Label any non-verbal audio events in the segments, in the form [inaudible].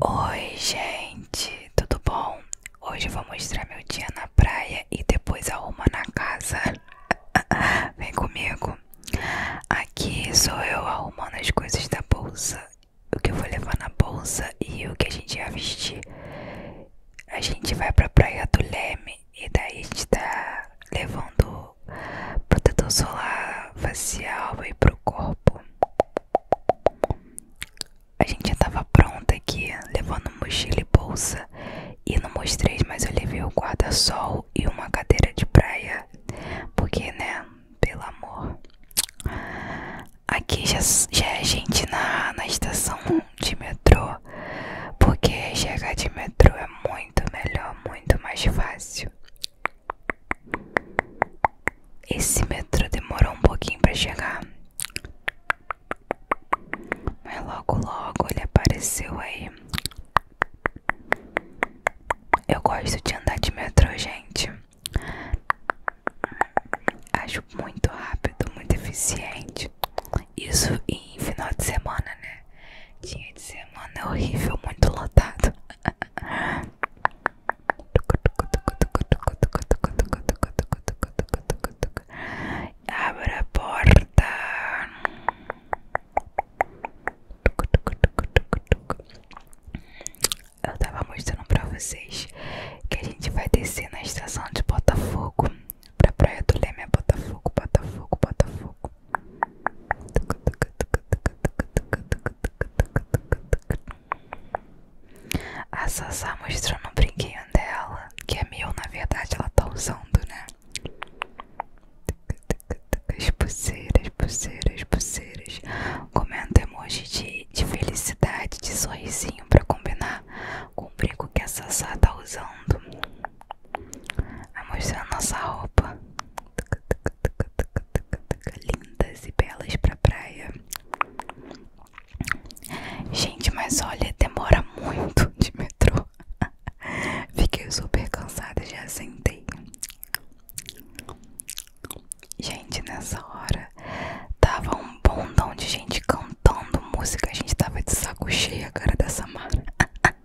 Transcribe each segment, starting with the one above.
Oi, gente, tudo bom? Hoje eu vou mostrar meu dia na praia e depois arruma na casa. [laughs] Vem comigo. Aqui sou eu arrumando as coisas da bolsa, o que vou levar na bolsa e o que a gente vai vestir. A gente vai pra praia do Leme e daí a gente tá levando protetor solar facial e pro corpo. A gente já tava pronta aqui, levando mochila e bolsa. E não mostrei, mas eu levei o guarda-sol e uma cadeira de praia. Porque, né? Pelo amor. Aqui já, já é gente na, na estação de metrô. Porque chegar de metrô é muito melhor, muito mais fácil. Esse metrô demorou um pouquinho para chegar. Mas logo logo ele apareceu aí. Eu gosto de andar de metrô, gente. Acho muito rápido, muito eficiente. Isso em final de semana, né? Dia de semana é horrível, muito lotado. Abra a porta. Eu tava mostrando pra vocês que a gente vai descer na estação de Botafogo pra Praia do Leme, é Botafogo, Botafogo, Botafogo. A Sassá mostrou no brinquinho dela, que é meu, na verdade ela tá usando, né? As pulseiras, pulseiras, pulseiras. Comenta emoji de, de felicidade, de sorrisinho pra combinar com o brinco que a Sassá tá usando. Vai mostrar nossa roupa. Lindas e belas pra praia. Gente, mas olha, demora muito de metrô. Fiquei super cansada, já sentei. Gente, nessa hora tava um bondão de gente cantando música. A gente tava de saco cheio, a cara da Samara. [laughs]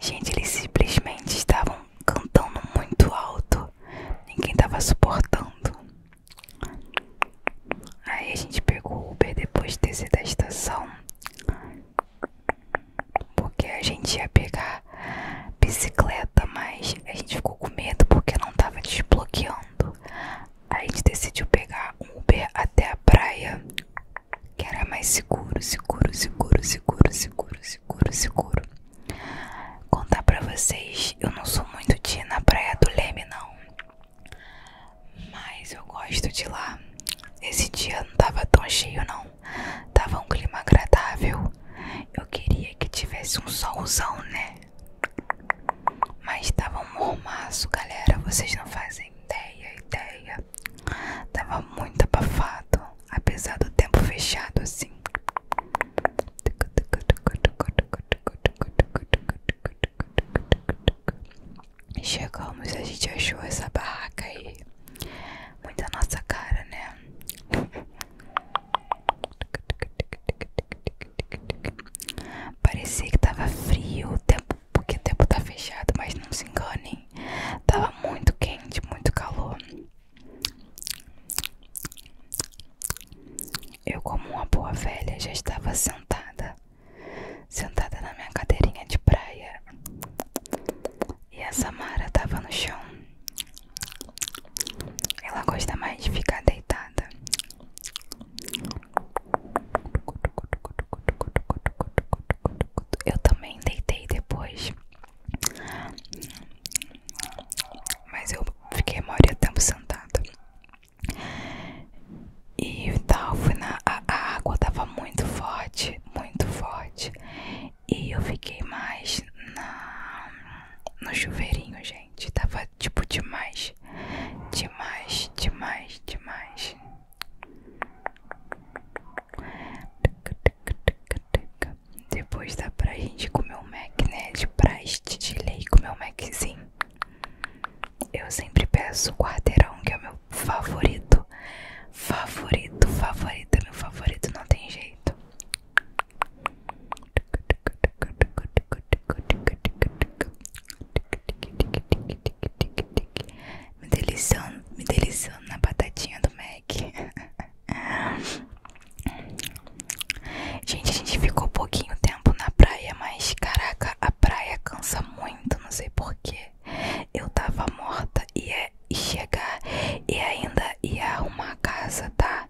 Gente, eles simplesmente estavam cantando muito alto. Ninguém estava suportando. Aí a gente pegou o Uber depois de descer da estação. Porque a gente ia pegar bicicleta, mas a gente ficou com medo porque não estava desbloqueando. Aí a gente decidiu pegar um Uber até a praia que era mais seguro, seguro, seguro, seguro, seguro, seguro, seguro. Contar pra vocês, eu não sou muito de ir na Praia do Leme, não. Mas eu gosto de lá. Esse dia não tava tão cheio, não. Tava um clima agradável. Eu queria que tivesse um solzão, né? Mas tava um mormaço, galera. Vocês não fazem ideia, ideia. Tava muito abafado, apesar do tempo fechado assim. Chegamos, a gente achou essa barraca aí. Muita nossa cara, né? Parecia que tava frio, o tempo porque o tempo tá fechado, mas não se enganem. Tava muito quente, muito calor. Eu, como uma boa velha, já estava sentada, sentada na minha cadeirinha de praia. E a Samara tava no chão. Ela gosta mais de ficar deitada. Eu também deitei depois. Mas eu fiquei a maioria do tempo sentada. E tal, fui na. A, água tava muito forte, muito forte. E eu fiquei mais no chuveirinho, gente gente. Tava tipo demais. Demais, demais, demais. Depois dá pra gente comer um Mac, né? De praste de lei, comer um Maczinho. Eu sempre peço o quarteirão, que é o meu favorito. Favorito, favorito, é meu favorito, não tem jeito. Me deliciando, me deliciando na batatinha do Mac. Gente, a gente ficou pouquinho tempo na praia, mas caraca, a praia cansa muito, não sei porquê. Eu tava morta e ia chegar e ainda ia arrumar a casa, tá?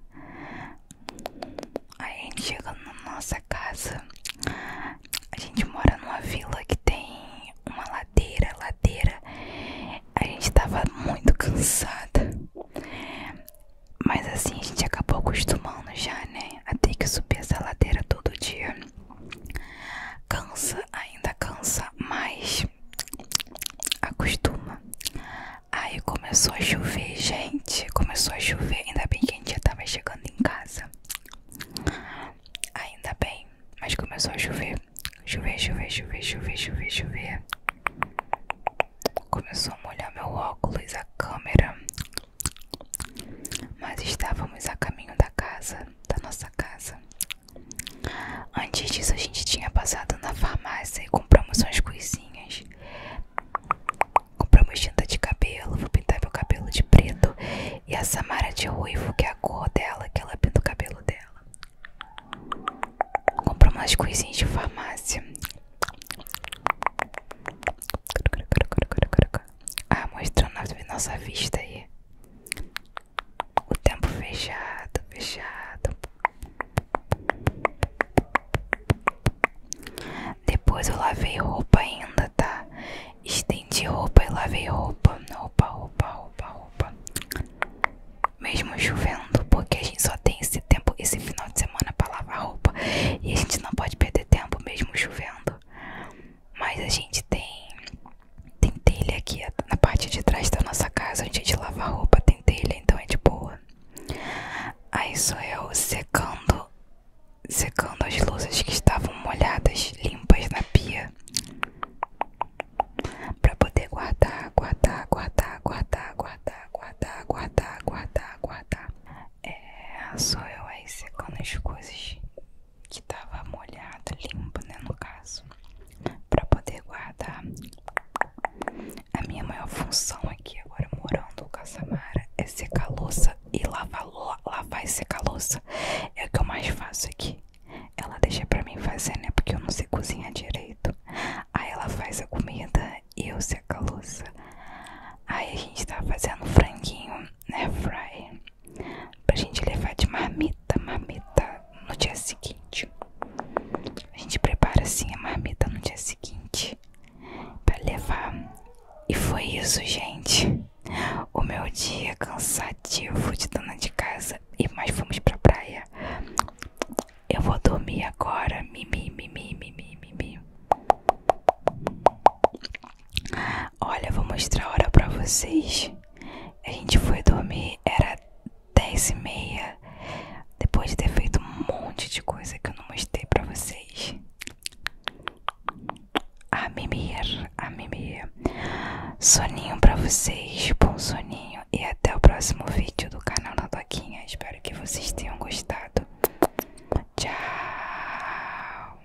A gente chega na nossa casa. A gente mora numa vila que tem uma ladeira, ladeira. A gente tava muito cansada. Mas assim, a gente acabou acostumando já, né? A ter que subir essa ladeira todo dia. Cansa, ainda cansa, mas acostuma. Aí começou a chover, gente. Começou a chover. Ainda bem que a gente já tava chegando em casa. Ainda bem. Mas começou a chover. Chover, chover, chover, chover, chover, chover. Começou a molhar meu óculos, a câmera. Mas estávamos a caminho da casa, da nossa casa. Antes disso, a gente tinha passado na farmácia e compramos umas coisinhas Comprei uma tinta de cabelo, vou pintar meu cabelo de preto e a Samara de ruivo, que é a cor dela, que ela pinta o cabelo dela. Comprei umas coisinhas de farmácia. Ah, mostrando a nossa vista aí. O tempo fechado, fechado. Depois eu lavei roupa ainda, tá? Estendi roupa e lavei roupa. Roupa, roupa, roupa, roupa. Mesmo chovendo, porque a gente só tem esse tempo, esse final de semana pra lavar roupa. E a gente não pode perder tempo mesmo chovendo. Mas a gente tem. Tem telha aqui na parte de trás da nossa casa. Onde a gente lava roupa, tem telha, então é de boa. Aí sou eu secando, secando as luzes que estavam molhadas, limpas na pia, para poder guardar, guardar, guardar, guardar, guardar, guardar, guardar, guardar, guardar. É, sou eu aí secando as coisas que tava molhada, limpa, né, no caso, para poder guardar, a minha maior função aqui agora morando com a Samara é secar a louça e lavar, lavar e secar a louça. É o que eu mais faço aqui. Ela deixa pra mim fazer, né? Porque eu não sei cozinhar direito. Aí ela faz a comida e eu seco a louça. Aí a gente tá fazendo franguinho, né? Fry. Pra gente levar de marmita da marmita no dia seguinte. A gente prepara assim a marmita no dia seguinte para levar. E foi isso, gente. O meu dia cansativo de dona de casa e mais fomos pra praia. Eu vou dormir agora. Mimi, mimi, mimi, mimi. Olha, vou mostrar a hora pra vocês. A gente foi dormir, era 10 e meia, depois de ter feito um monte de coisa que eu não mostrei pra vocês. A mimir, a mimir. Soninho pra vocês, bom soninho. E até o próximo vídeo do canal da Doquinha. Espero que vocês tenham gostado. Tchau!